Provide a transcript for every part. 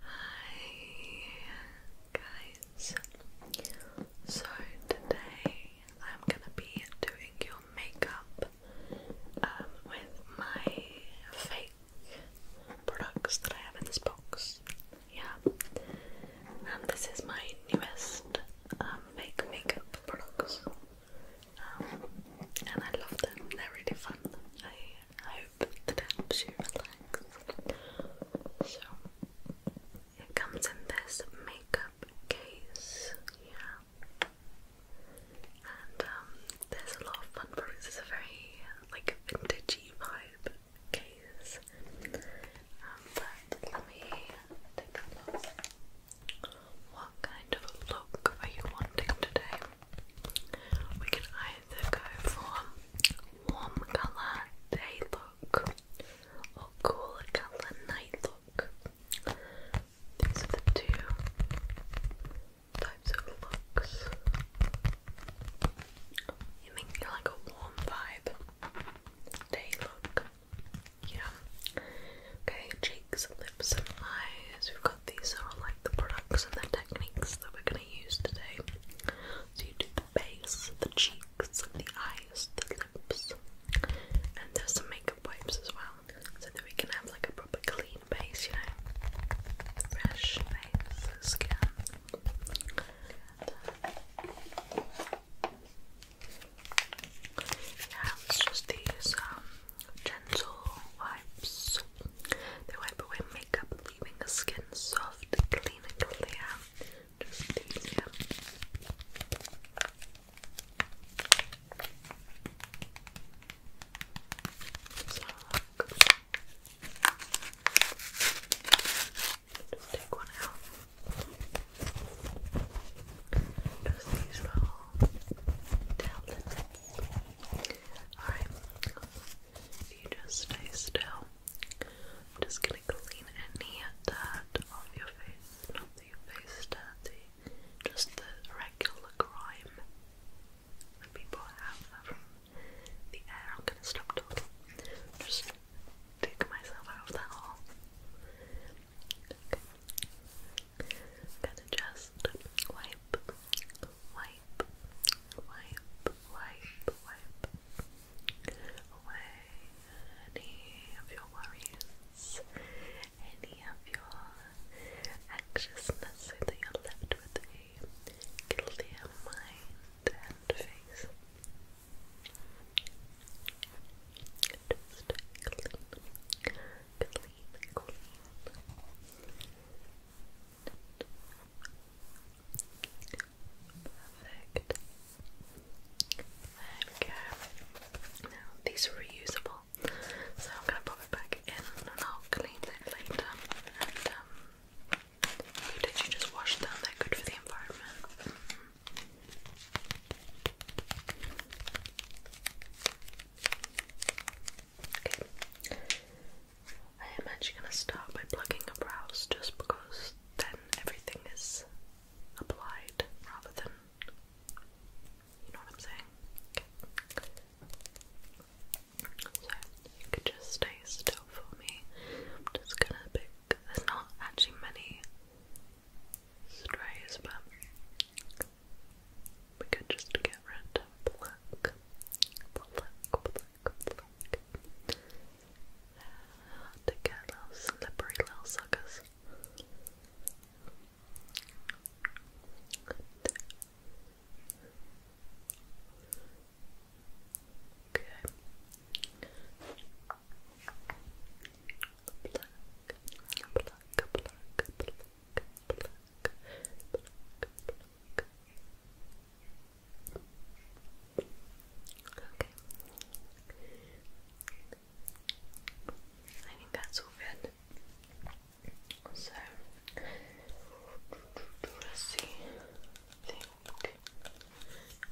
Hi guys. So today I'm gonna be doing your makeup um, with my fake products that I have in this box. Yeah. And um, this is my newest um, fake makeup products. and I love them, they're really fun. I hope that helps you relax. So, it comes in this makeup case, yeah. And um, there's a lot of fun products. It's a very like vintagey vibe case. Um, but let me take a look. What kind of look are you wanting today? We can either go for warm colour day look or cool colour night look. These are the two types of looks. You think you like a warm vibe day look. Yeah. Okay, cheeks, lips, and eyes. We've got these are like the products and the techniques that we're gonna use today you do the face, the cheeks, the eyes, the lips, and there's some makeup wipes as well, so that we can have like a proper clean face, you know, fresh face, skin. yeah, it's just these um, gentle wipes. They wipe away makeup, leaving the skin soft, clean, and clear. Just clear. Just take one out. Just these little tablets. Alright, you just stay still. I'm just gonna clean any dirt off your face, not that your face is dirty, just the regular grime that people have from the air. I'm gonna stop talking, just dig myself out of that hole. Okay. gonna just wipe wipe, wipe, wipe, wipe away any of your worries, any of your anxiousness, so that you're left with a clear mind and face. Just clean, clean, clean. Perfect. There we go. Now these are reusable, so I'm gonna pop it back in and I'll clean it later. And um, you did just wash them? They're good for the environment. Okay. I am actually going to start by plugging a brows just because then everything is applied rather than. You know what I'm saying? Okay. So, you could just stay still for me. I'm just gonna pick. There's not actually many strays, but we could just get rid black, black, black, black, they little slippery little suckers. Good. Okay. I think that's all good. So let's see.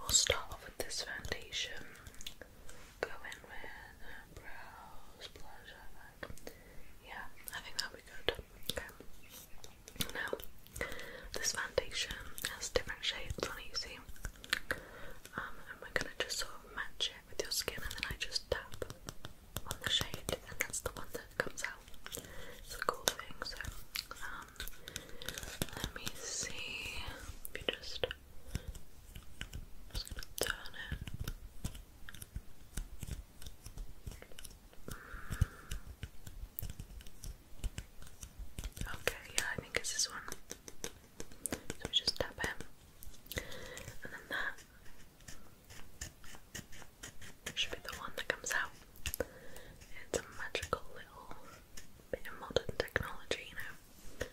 we'll start off with this foundation. Go in with uh, brows, blush, Yeah, I think that'll be good. Now, this foundation has different shades on it, you see. Um, and we're gonna just sort of match it with your skin, and then I just tap on the shade, and that's the one that comes out. It's a cool thing, so um, let me see if you just. turn it. Mm. Okay, yeah, I think it's this one. So we just tap it, and then that should be the one that comes out. It's a magical little bit of modern technology, you know.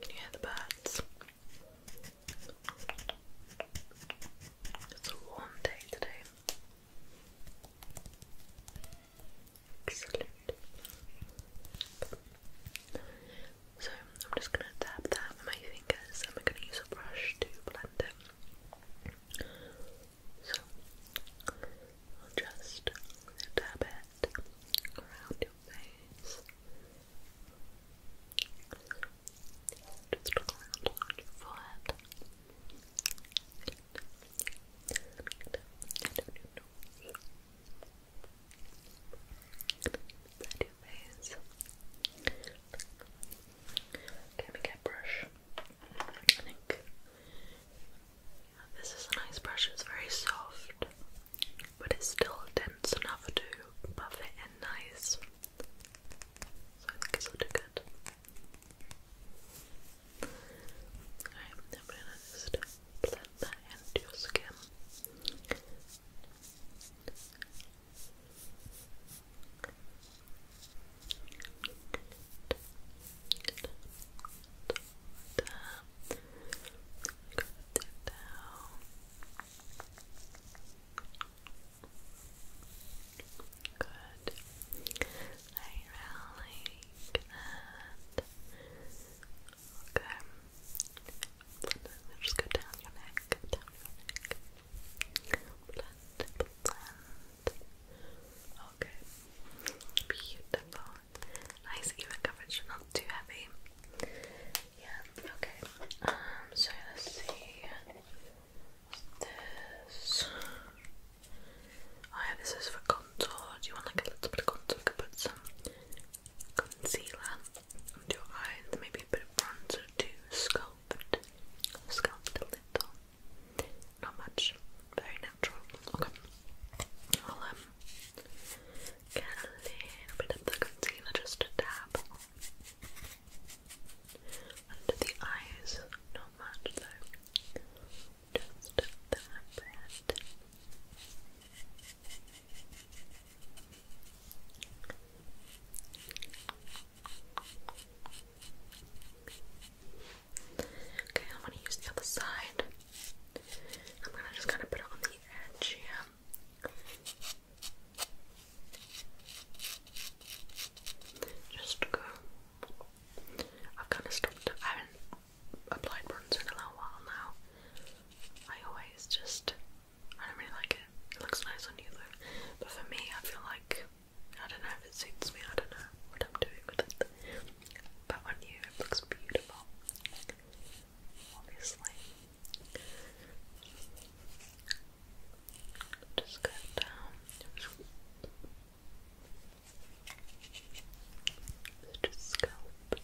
Can you hear the birds? It's a warm day today. So I'm just gonna dab that with my fingers and we're gonna use a brush to blend it. So just dab it around your face. Just look around on your forehead. And your face. Okay, we get a brush. I think this is a nice brush, it's very soft, but it's still dense enough to buff it in nice. So I think it's looking good. Alright, I'm gonna blend that into your skin. Good. Good. Down. Good. I really like Okay. let go down your neck, down your neck. Okay. Beautiful. Nice even coverage, not too heavy. Yeah, okay. Um, so let's see. This. Oh, yeah, this is for contour. Do you want like a little bit of contour? I could put some concealer on your eyes, maybe a bit of bronzer to sculpt. Sculpt a little. Not much. Very natural. Okay. I'll um, get a little bit of the concealer just to dab. Under the eyes, not much though. Just that bit. Okay, I'm gonna use the other side. I'm gonna just kind of put it on the edge here. Just go. I've kind of stopped. I haven't applied bronzer in a while now. I always just. I don't really like it. It looks nice on you though. But for me, I feel like. I don't know if it suits me. I don't know what I'm doing with it. But on you, it looks beautiful. Obviously. Just go down. Just sculpt,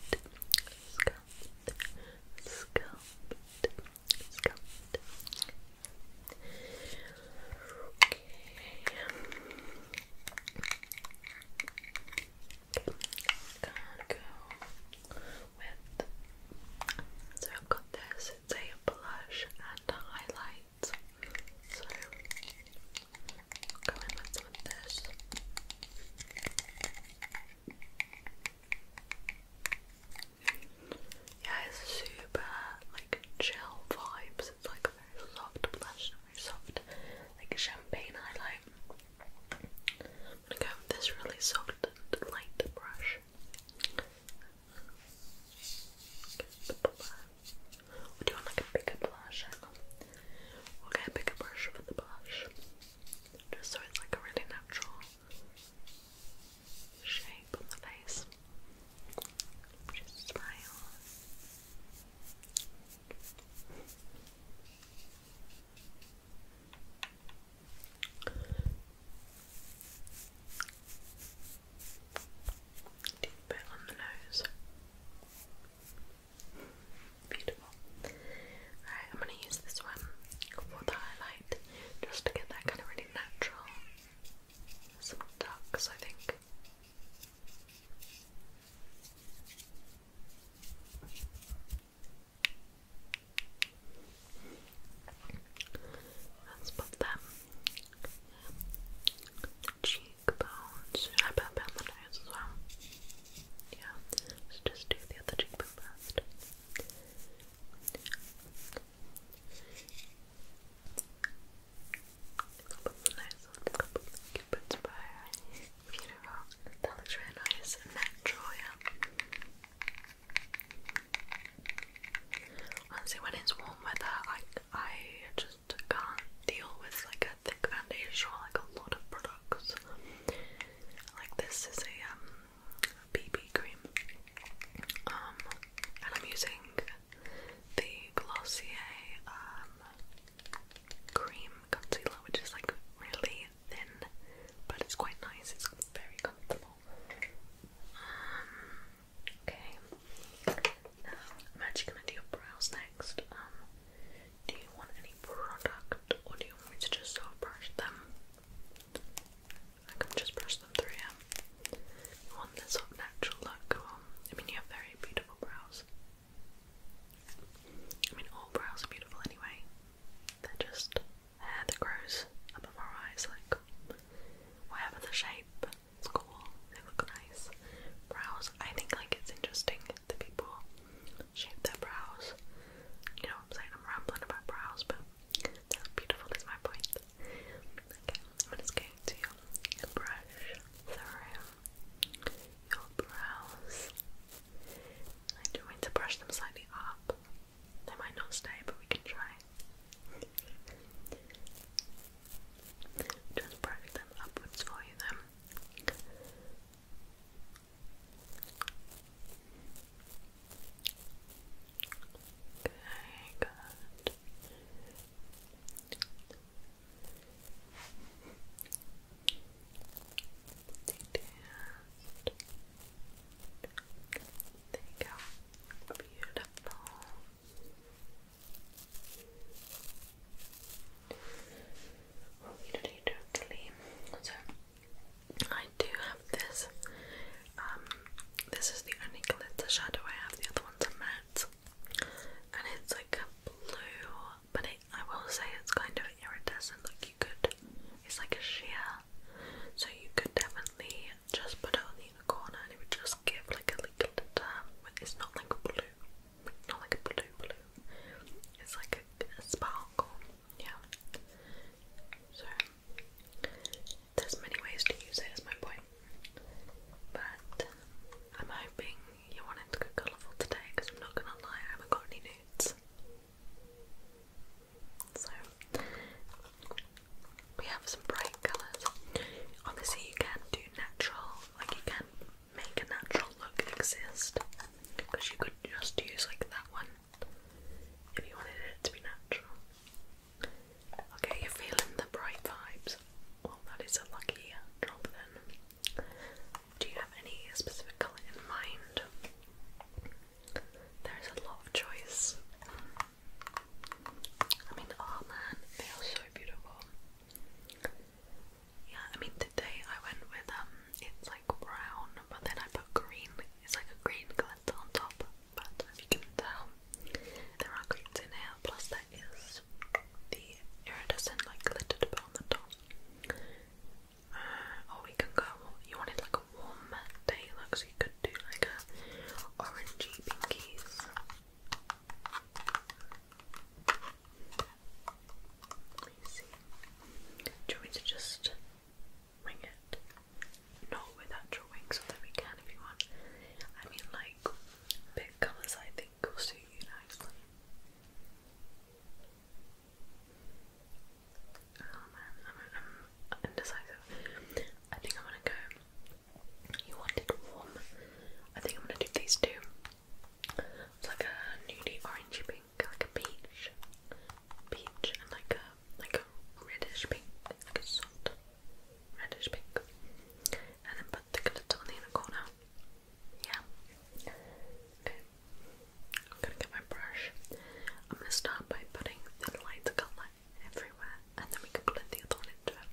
sculpt, sculpt, sculpt. Okay. I'm go so I've got this, it's a blush and highlight. So i in with this. Yeah, it's super like chill vibes. It's like a very soft blush, very soft like champagne highlight going this really soft light brush. Would you want like a bigger blush? Hang a bigger brush for the blush. Just so it's like a really natural shape on the face. Just smile. Deep bit on the nose. Beautiful. Alright, I'm going to use this one for the highlight just to get that kind of really natural. Some ducks, I think. Let's put them cheekbones. I put them on the nose as well? Yeah, let's just do the other cheekbone first. Couple of the nose, a couple of the cupid's bow. Beautiful. That looks really nice and natural, yeah. Honestly, when it's warm weather, I I just can't deal with like a thick foundation or like a lot of products. Like this is a um BB cream, um, and I'm using the Glossier um, cream concealer, which is like really thin, but it's quite nice. It's very comfortable. Um, okay. Now I'm actually gonna do your brows next. Um, do you want any product, or do you want to just sort brush them? I can just brush them through. You want this sort natural look. I mean, you have very beautiful brows. I mean, all brows are beautiful anyway. They're just hair that grows above our eyes, like whatever the shape, it's cool, they look nice. Brows, I think like it's interesting that people shape their brows. You know what I'm saying? I'm rambling about brows, but they beautiful is my point. Okay, I'm just going to brush through your brows. I do want to brush them slightly up. They might not stay, but we can try. Just brush them upwards for you Okay, good. Detached. There you go. Beautiful. Well, we did it totally. So I do have this. Um, this is the only glitter shadow I have. The other ones are matte, and it's like a blue, but I will say it's kind of iridescent. Look, you could, it's like a sheer so you could definitely just put it on the corner and it would just give like a little term. It's not like blue, not like a blue blue. It's like a, sparkle, yeah. So there's many ways to use it as my point, but I'm hoping you wanted to go colourful today because I'm not gonna lie, I haven't got any nudes. So we have some bright colours. Obviously you can do natural, like you can make a natural look exist. Because you could just use like that one if you wanted it to be natural. Okay, you're feeling the bright vibes. Well that is a lucky drop then. Do you have any specific colour in mind? There's a lot of choice. I mean, oh man, they are so beautiful. Yeah, I mean today I went with um, it's like brown, but then I put green. It's like a green glitter on top. But if you can tell, there are greens in here. Plus, there is the iridescent like glitter to on the top. Uh, oh, we can go. You wanted like a warm day look, we could do like a orangey pinkies. Do you want me to just wing it? Not with actual wings, although we can if you want. I mean, like, pick colours I think will suit you nicely. Oh um, man, I'm, I'm indecisive. I think I'm gonna go. You wanted warm. I think I'm gonna do these two. It's like a nudie orangey pink, like a peach, peach, and like a like a reddish pink, like a soft reddish pink, and then put the glitter on the inner corner. Yeah. Okay. I'm gonna get my brush. I'm gonna start by putting the lighter colour everywhere, and then we can blend the other into it.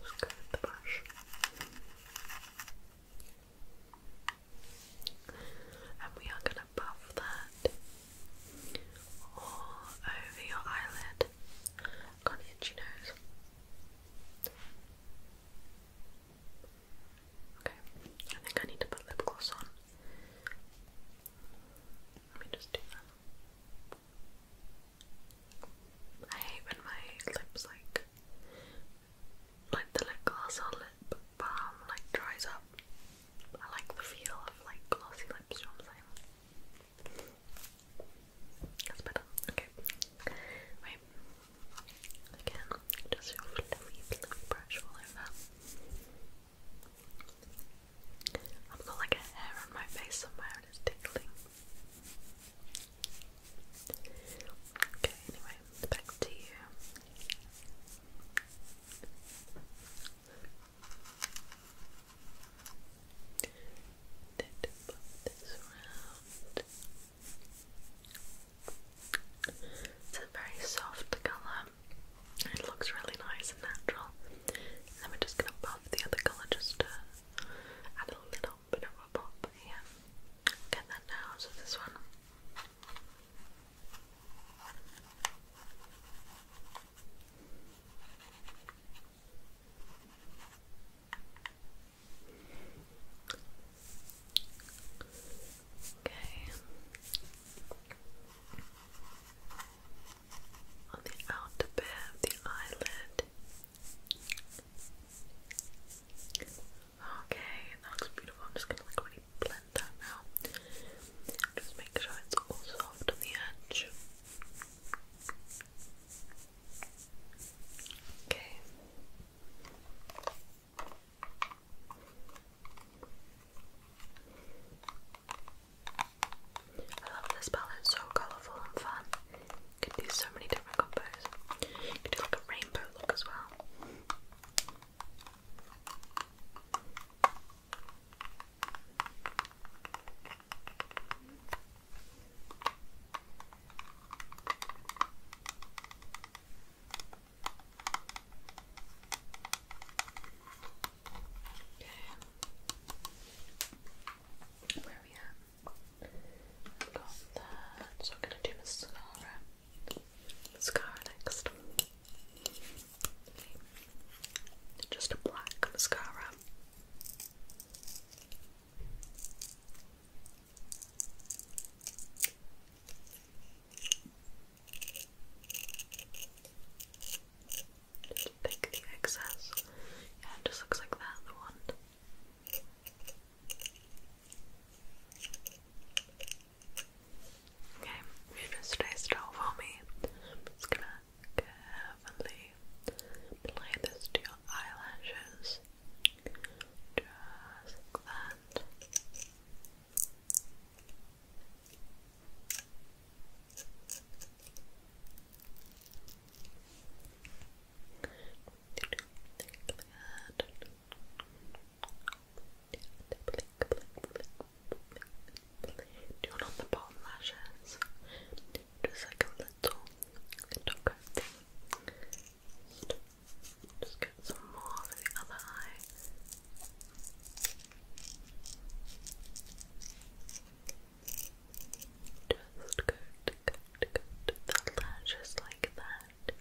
Just go with brush. And we are going to buff that all over your eyelid got itchy nose. Okay, I think I need to put lip gloss on. Let me just do that. I hate when my lips like, like the lip gloss or lip balm like dries up. I like the feel of like glossy lips, you know that's Okay. Wait. Again, just your fluffy, brush all over. I've got like a hair on my face somewhere it's tickling. Okay, anyway, back to you. Then to put this round. It's a very soft colour. It looks really nice and natural. then we're just gonna pop the other colour just to add a little bit of a pop here. Get that now so this one. Okay. On the outer bit of the eyelid. Okay, that looks beautiful. I'm just gonna really blend that now. Just make sure it's all soft on the edge. I love this palette, so colourful and fun. You can do so many different combos. can do like a rainbow look as well. Okay. Where we at? got that. So I'm gonna do mascara. Mascara next. Just a black mascara. Just pick the excess. Yeah, it just looks like that, the one. Okay, you just stay still for me. i gonna carefully apply this to your eyelashes just like that do it on the bottom lashes just like a little, little coat. Just, just get some more for the other eye. Just go to go to the like that.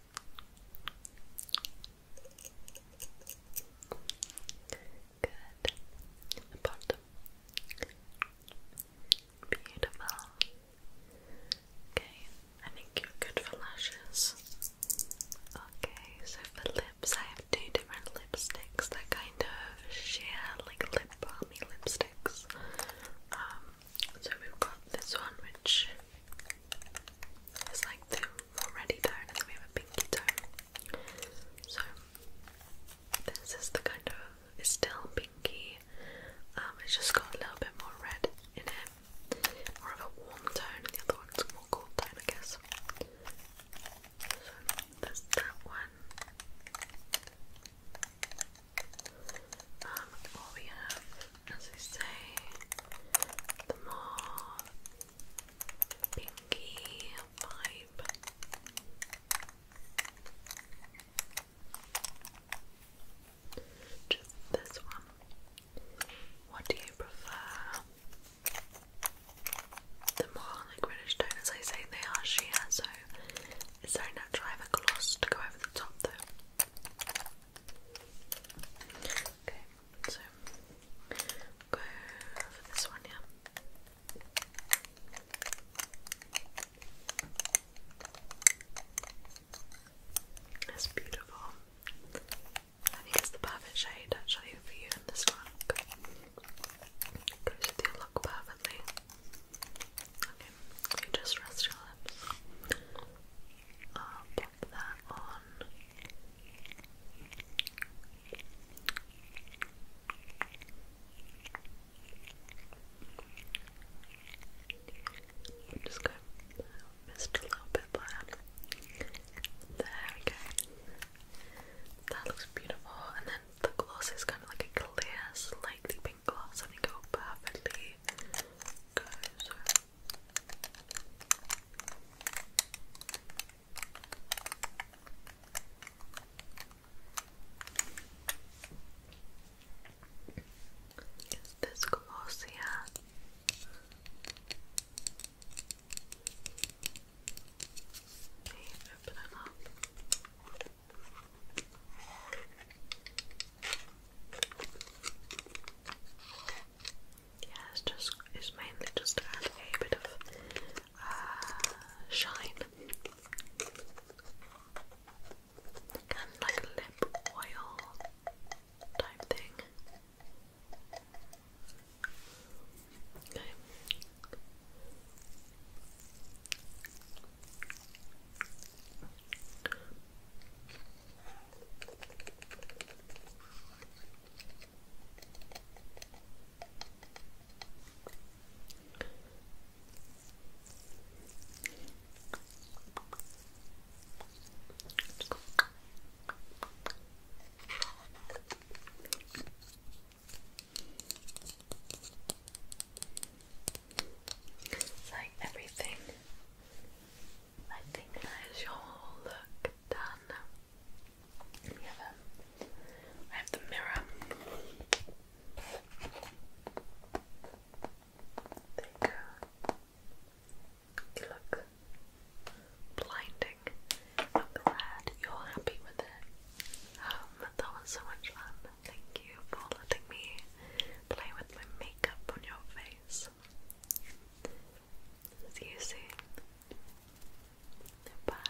Good. bottom. Beautiful. Okay, I think you're good for lashes. Okay, so for lips, I have two different lipsticks. that kind of share like lip balmy lipsticks. Um, so we've got this one, which is like the already tone, and then we have a pinky tone. So this is the kind of it's still pinky. Um, it's just got a little bit more red in it, more of a warm tone. The other one's more cool tone, I guess. So that's that one. Um, we have, as I say, the more pinky, just this one. What do you prefer? The more like reddish tone as I say they are sheer, so it's so natural I have a gloss to go over the top though. Okay, so for this one, yeah. That's beautiful. I think the perfect shade actually for you in this look. Goes with your look perfectly. Okay, you just rest your lips. i pop that on just going to a little bit there. There we go. That looks beautiful. And then the gloss is kind of like a clear, slightly pink gloss. I think it will perfectly is this Colossia? Okay, open it up. Yeah, it's just it's mainly just to add a bit of uh, shine Kind of like a lip oil type thing. Okay. It's like everything. I think that is your whole look done. We have the mirror. There you go. You look blinding. I'm glad you're happy with it. Um, that was so much fun. Thank you for letting me play with my makeup on your face. See you soon. bye.